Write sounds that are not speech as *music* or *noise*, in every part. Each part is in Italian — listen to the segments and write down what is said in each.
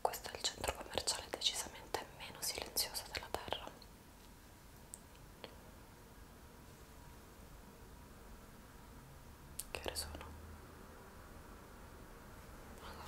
Questo è il centro commerciale decisamente meno silenzioso della Terra. Che ore sono?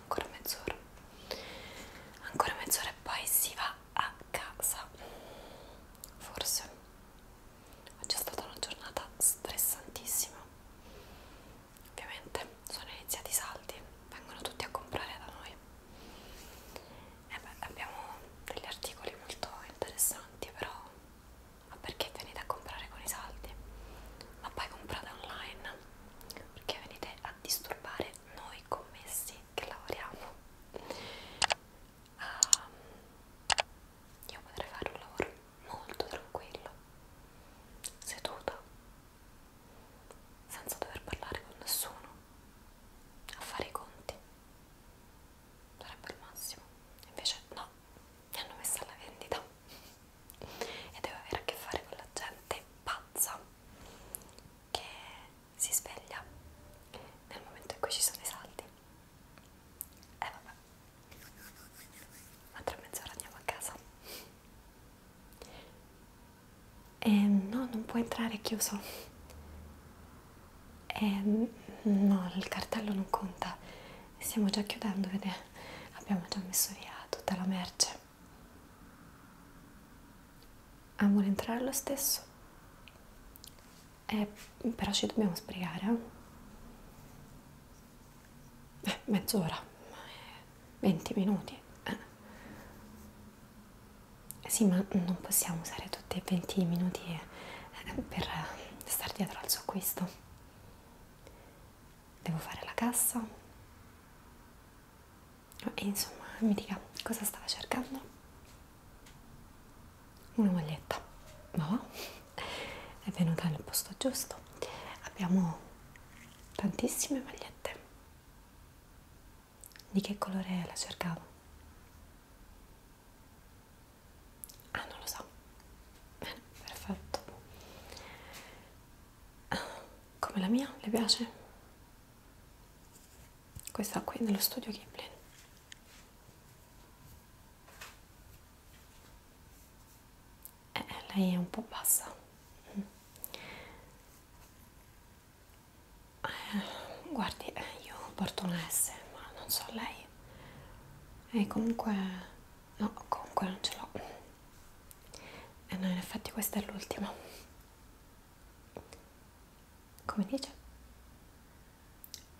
Ancora mezz'ora. Ancora mezz'ora e poi si va a casa forse oggi è stata una giornata stressantissima ovviamente sono iniziati i saldi vengono tutti a comprare da noi e eh beh, abbiamo degli articoli molto interessanti però ma perché venite a comprare con i saldi ma poi comprate online perché venite a disturbare noi noi commessi che lavoriamo um, io potrei fare un lavoro molto tranquillo seduta senza dover parlare con nessuno a fare i conti sarebbe il massimo invece no mi hanno messo alla vendita e devo avere a che fare con la gente pazza che si sveglia nel momento in cui ci sono i saldi e eh, vabbè ma tra mezz'ora andiamo a casa e eh, no non può entrare chiuso e eh, no il cartello non conta stiamo già chiudendo vedete abbiamo già messo via tutta la merce Ah, vuole entrare lo stesso? Eh, però ci dobbiamo sbrigare, eh? eh mezz'ora, 20 eh, minuti. Eh. Sì, ma non possiamo usare tutti e 20 minuti eh, eh, per stare dietro al suo acquisto. Devo fare la cassa e insomma mi dica cosa stava cercando una maglietta no è venuta nel posto giusto abbiamo tantissime magliette di che colore la cercavo ah non lo so bene *laughs* perfetto come la mia, le piace? Questa qui nello studio Kipling. Eh, eh, lei è un po' bassa. Mm. Eh, guardi, eh, io porto una S, ma non so lei. E comunque... no, comunque non ce l'ho. E eh, no, in effetti questa è l'ultima. Come dice?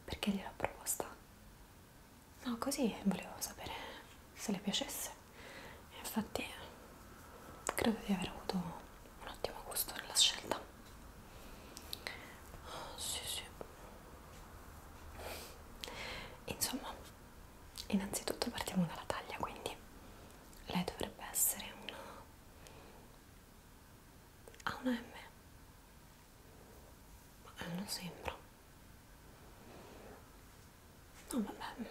Perché gliel'ho proposta? No, così volevo sapere se le piacesse. E infatti credo di aver avuto un ottimo gusto nella scelta. Oh, sì, sì. Insomma, innanzitutto partiamo dalla taglia, quindi lei dovrebbe essere una A una M ma non sembra no vabbè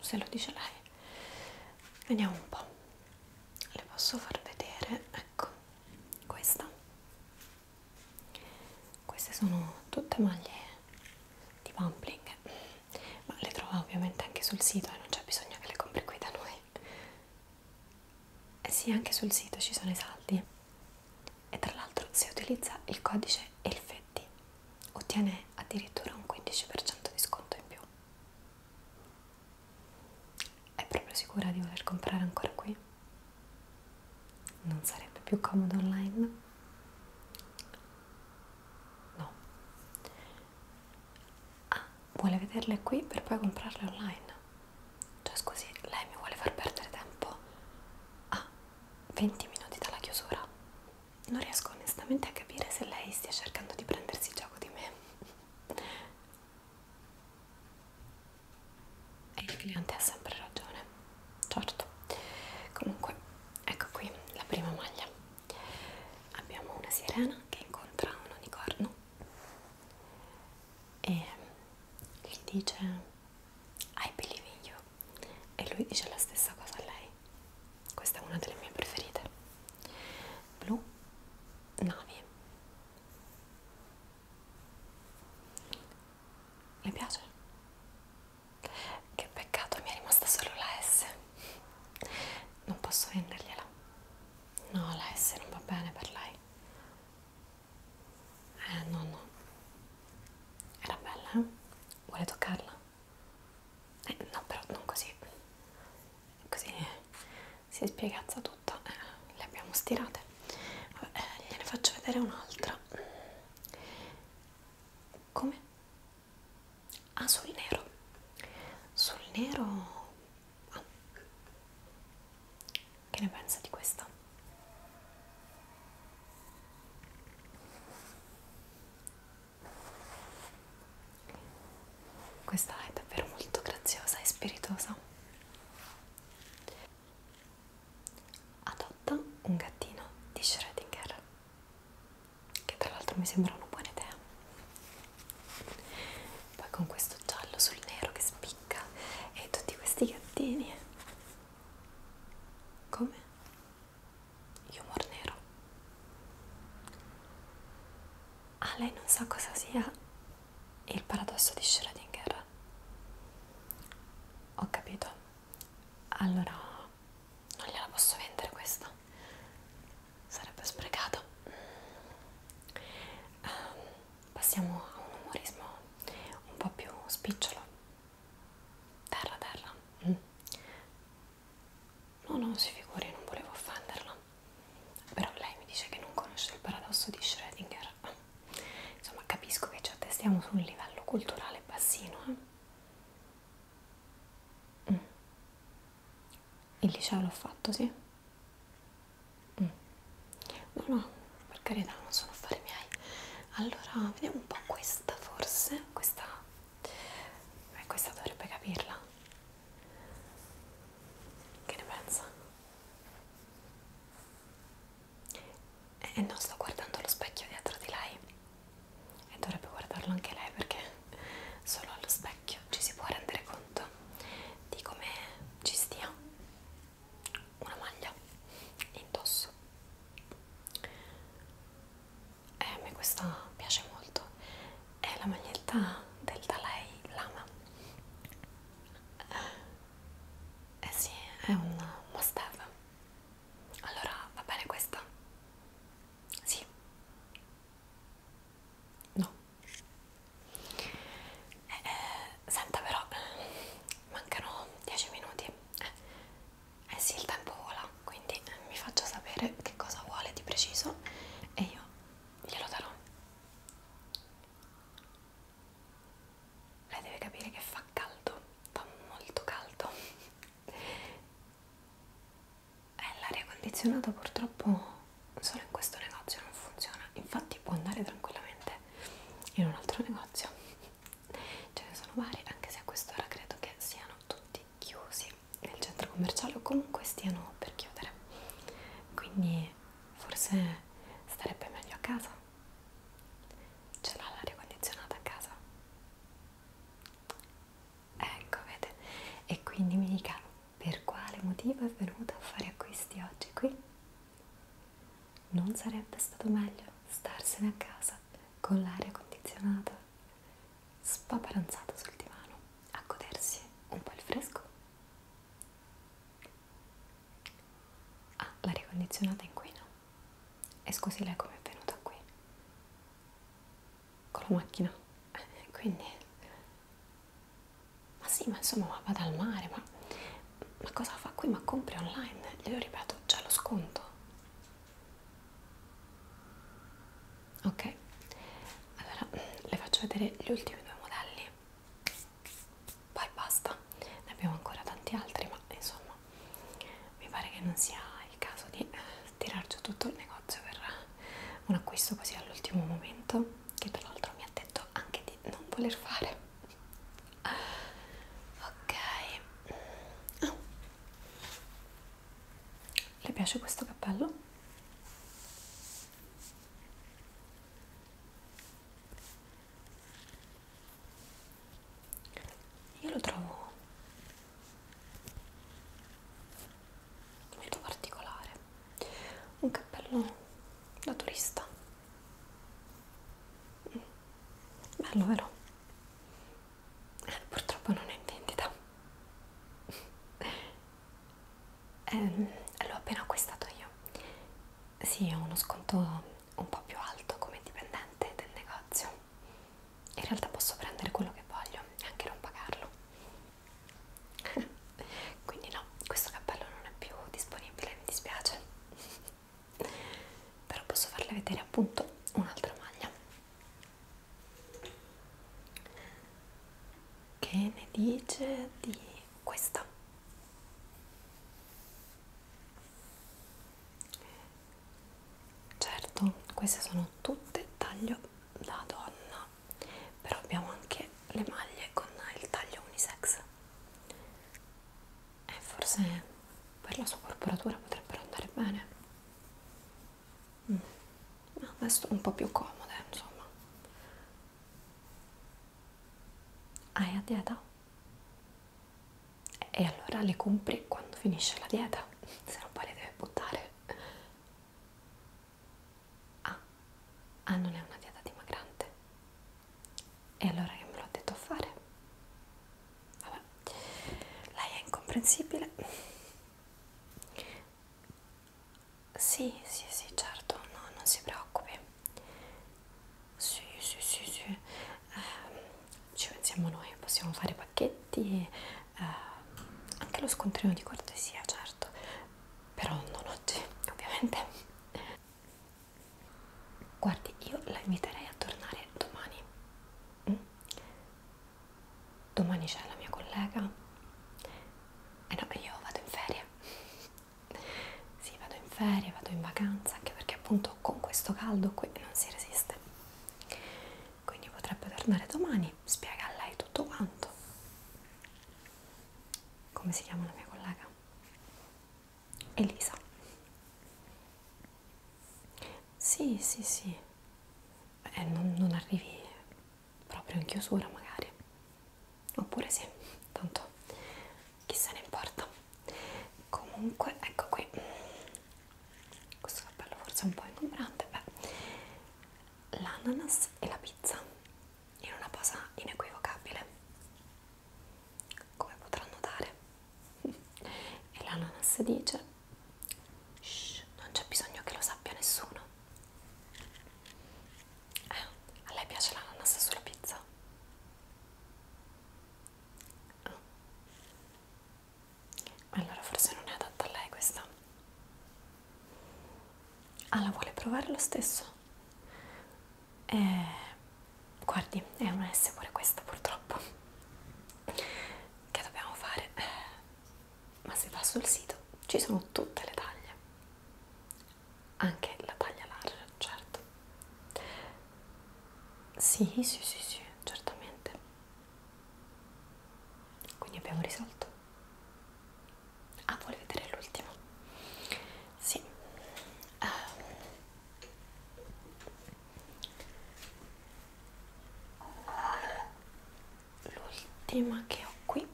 se lo dice lei vediamo un po' le posso far vedere ecco questa queste sono tutte maglie di pumpling ma le trova ovviamente anche sul sito e eh? non c'è bisogno che le compri qui da noi eh sì anche sul sito ci sono i saldi e tra l'altro se utilizza il codice ELFETTI ottiene addirittura un 15% di sconto in più è proprio sicura di voler comprare ancora qui? non sarebbe più comodo online? no ah, vuole vederle qui per poi comprarle online cioè scusi, lei mi vuole far perdere tempo a ah, 20 minuti dalla chiusura non riesco onestamente a capire se lei stia cercando di prendersi gioco di me e il cliente ha sempre ragione certo comunque ecco qui la prima maglia abbiamo una sirena che incontra un unicorno e gli dice I believe in you e lui dice la stessa cosa a lei questa è una delle mie preferite blu navi le piace? Che peccato, mi è rimasta solo la S non posso vendergliela. No, la S non va bene per lei. Eh, no, no. Era bella, eh? Vuole toccarla? Eh, no, però non così. Così si spiegazza tutto. Eh, le abbiamo stirate. Vabbè, eh, gliene faccio vedere un'altra. Come? ah sul nero sul nero ah. che ne pensa di questa? Questa è davvero molto graziosa e spiritosa. Adotta un gattino di Schrödinger che tra l'altro mi sembra una buona idea poi con questo giallo sul nero che spicca e tutti questi gattini come? humor nero ah lei non sa cosa sia il paradosso di Schrödinger ho capito allora non gliela posso vendere questa sarebbe sprecata um, ehm, passiamo a un umorismo un po' più spicciolo terra terra mm. no non si figuri non volevo offenderla però lei mi dice che non conosce il paradosso di Schrödinger insomma capisco che ci attestiamo su un livello culturale bassino eh? Mm. Il liceo l'ho fatto, sì? Mm. No, no, per carità, non sono affari miei. Allora, vediamo un po' questa forse, questa... Beh, questa dovrebbe capirla. Che ne pensa? E eh, non sto guardando lo specchio dietro di lei e dovrebbe guardarlo anche lei perché solo allo specchio ci si può rendere conto di come ci stia una maglia indosso e eh, a me questa piace molto è la maglietta del Dalai Lama eh sì, è un must have allora va bene questa sì. No. Eh, eh, senta però, mancano 10 minuti. Eh, eh sì, il tempo vola, quindi mi faccia sapere che cosa vuole di preciso e io glielo darò. Lei deve capire che fa caldo, fa molto caldo eh, l'aria condizionata purtroppo solo in questo negozio non funziona infatti può andare tranquillamente in un altro negozio ce ne sono vari anche se a quest'ora credo che siano tutti chiusi nel centro commerciale o comunque stiano per chiudere quindi forse starebbe meglio a casa ce l'ha l'aria condizionata a casa Ecco, vede? E quindi mi dica per quale motivo è venuto a fare acquisti oggi qui? Non sarebbe stato meglio starsene a casa con l'aria condizionata, spaparanzato sul divano, a godersi un po' il fresco? Ah, l'aria condizionata inquina. E scusi lei come è venuta qui? con la macchina, eh, quindi, ma sì, ma insomma, ma vada al mare, ma, ma cosa fa qui? Ma compri online, glielo ripeto, c'è lo sconto. Ok, allora le faccio vedere gli ultimi due modelli, poi basta, ne abbiamo ancora tanti altri, ma insomma, mi pare che non sia il caso di eh, tirar giù tutto il negozio per un acquisto così all'ultimo momento che tra l'altro mi ha detto anche di non voler fare ok oh. le piace questo cappello? io lo trovo molto particolare un cappello da turista bello vero? Eh, purtroppo non è in vendita *laughs* eh, l'ho appena acquistato io sì, ho uno sconto un po' più alto come dipendente del negozio in realtà posso prendere quello che voglio e anche non pagarlo *laughs* quindi no, questo cappello non è più disponibile, mi dispiace *laughs* però posso farle vedere appunto un'altra maglia che ne dice di questa certo queste sono tutte taglio da donna però abbiamo anche le maglie con il taglio unisex e forse per la sua corporatura potrebbero andare bene mm. ma ah, adesso un po' più comode insomma hai a dieta? e allora le compri quando finisce la dieta roba, se roba le deve buttare. Ah, ah non è una dieta dimagrante. E allora che me l'ho detto a fare? Vabbè, lei è incomprensibile. Sì, sì, sì, certo, no, non si preoccupi. Sì, sì, sì, sì. Eh, ci pensiamo noi, possiamo fare pacchetti, eh, anche lo scontrino di cortesia, certo, però non oggi, ovviamente. Guardi, io la inviterei a tornare domani. Mm? Domani c'è la mia collega. Eh no, io vado in ferie. Sì, vado in ferie, vado in vacanza, anche perché appunto con questo caldo qui non si resiste quindi potrebbe tornare domani, spiega a lei tutto quanto. Come si chiama la mia collega? Elisa. Sì, sì, sì. Eh, non, non arrivi proprio in chiusura magari. Oppure sì, tanto chi se ne importa. Comunque, ecco qui questo cappello forse è un po' ingombrante beh l'ananas e la pizza in una posa inequivocabile come potrà notare *laughs* e l'ananas dice Shh, non c'è bisogno che lo sappia nessuno eh, a lei piace l'ananas sulla pizza? Oh. Allora forse non è adatta a lei questa. Ah, la vuole provare lo stesso? Eh, guardi, è una S pure questa purtroppo. Che dobbiamo fare? Eh, ma se va sul sito ci sono tutte le taglie. Anche la taglia larga, certo. Sì, sì, sì, sì, certamente. Quindi abbiamo risolto. Ah, vuole vedere l'ultimo? Sì. Um. L'ultima che ho qui.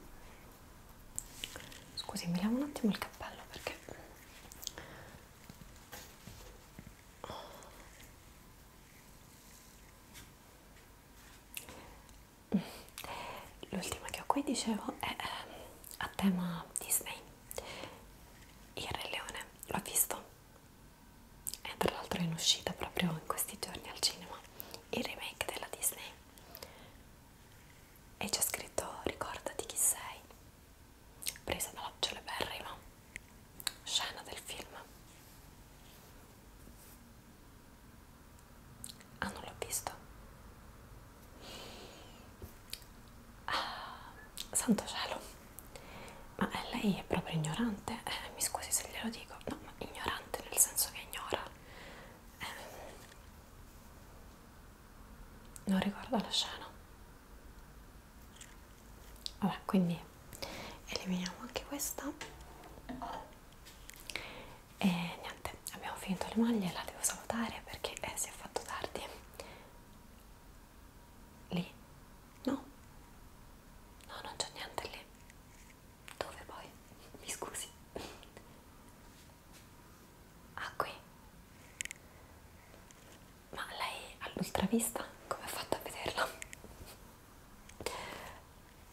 Scusi, mi lavo un attimo il cappello perché L'ultima che ho qui, dicevo, è eh, a tema Disney. Il Re Leone, l'ho visto, è tra l'altro in uscita proprio in questi giorni al cinema, il remake della Disney. E c'è scritto ricordati chi sei, presa dalla Giulia Berrima scena del film ah non l'ho visto ah, santo cielo ma lei è proprio ignorante eh, mi scusi se glielo dico no ma ignorante nel senso che ignora eh, non ricordo la scena Vabbè, quindi eliminiamo anche questa e niente, abbiamo finito le maglie, la devo salutare perché eh, si è fatto tardi lì? no? no, non c'è niente lì dove poi? mi scusi ah qui? Ma lei all'ultravista come ha fatto a vederla?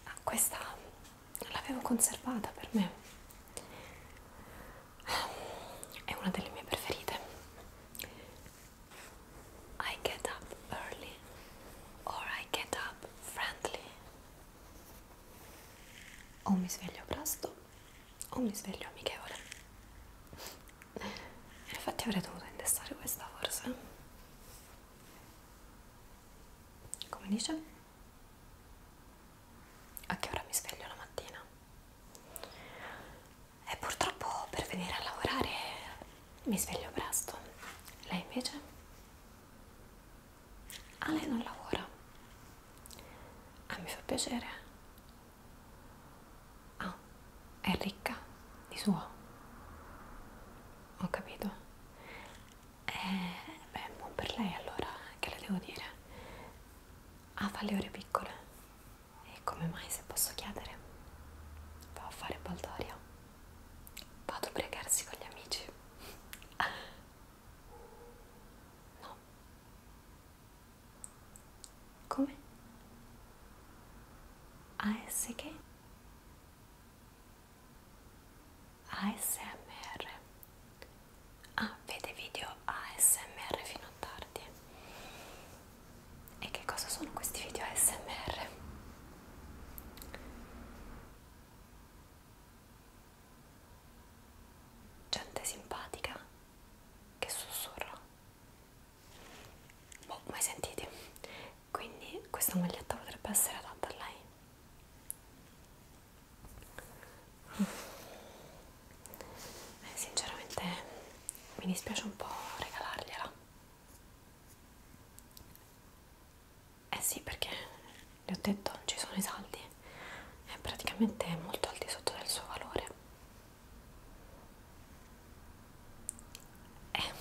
Ah, questa l'avevo conservata per me. È una delle mie preferite. I get up early or I get up friendly. O mi sveglio presto o mi sveglio amichevole. Eh, infatti avrei dovuto indessare questa forse come dice a che ora mi sveglio la mattina e purtroppo per venire a lavorare mi sveglio presto lei invece ah lei non lavora ah mi fa piacere Ah, è ricca di suo. Ho capito. Eh, beh, buon per lei allora, che le devo dire? Ah, fa le ore piccole. E come mai se posso chiedere? Va a fare baldoria. Vado a pregarsi con gli amici. *laughs* No. Come? AS che? ASMR. Ah, vede video ASMR fino a tardi. E che cosa sono questi video ASMR? Gente simpatica che sussurra boh, mai sentiti quindi questa maglietta potrebbe essere adatta a lei eh, sinceramente mi dispiace un po' regalargliela eh sì perché le ho detto non ci sono i saldi è praticamente molto al di sotto del suo valore eh,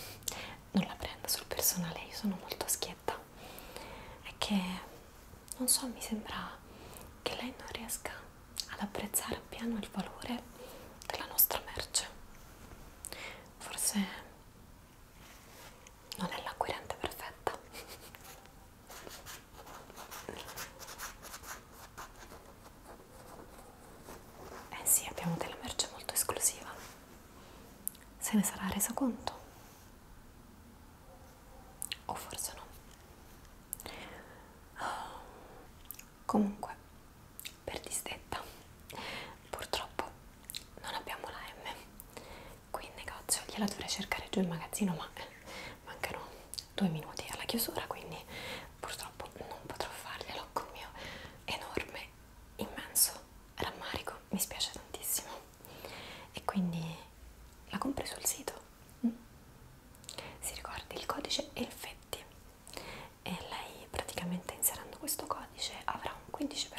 non la prendo sul personale, io sono molto schietta. È che, non so, mi sembra che lei non riesca ad apprezzare appieno il valore della nostra merce. Forse non è l'acquirente perfetta. Eh sì, abbiamo della merce molto esclusiva. Se ne sarà reso conto? O forse no. Oh. Comunque, per disdetta, purtroppo non abbiamo la M qui in negozio. Gliela dovrei cercare giù in magazzino, ma mancano due minuti alla chiusura, quindi purtroppo non potrò farglielo con mio enorme, immenso rammarico, mi spiace tantissimo. E quindi la compri sul sito. Mm? Si ricordi il codice Elfetti e lei praticamente inserendo questo codice avrà un 15%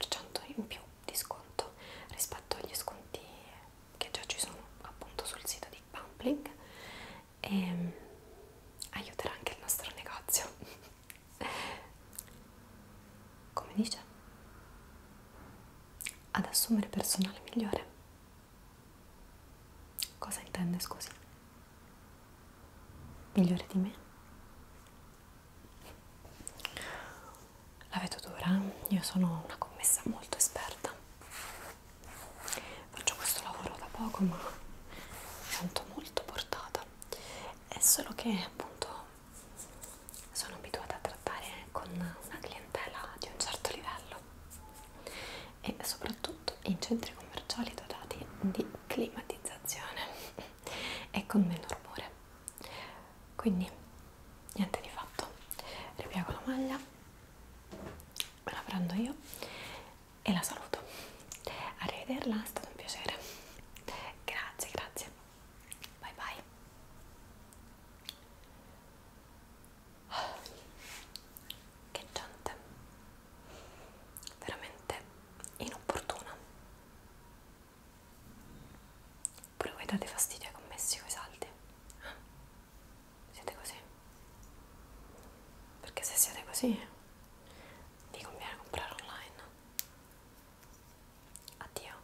in più di sconto rispetto agli sconti che già ci sono appunto sul sito di Pumpling e ehm, aiuterà anche il nostro negozio come dice ad assumere personale migliore cosa intende scusi migliore di me la vedo dura eh? io sono una commessa molto esperta faccio questo lavoro da poco ma mi sento molto portata è solo che appunto sono abituata a trattare con una clientela di un certo livello e soprattutto in centri commerciali dotati di climatizzazione *laughs* e con meno rumore quindi niente di fatto ripiego la maglia me la prendo io e la saluto. Arrivederla, è stato un piacere. Grazie, grazie. Bye bye. Oh, che gente. Veramente inopportuna. Pure voi date fastidio ai commessi coi saldi. Siete così? perché se siete così vi conviene comprare online addio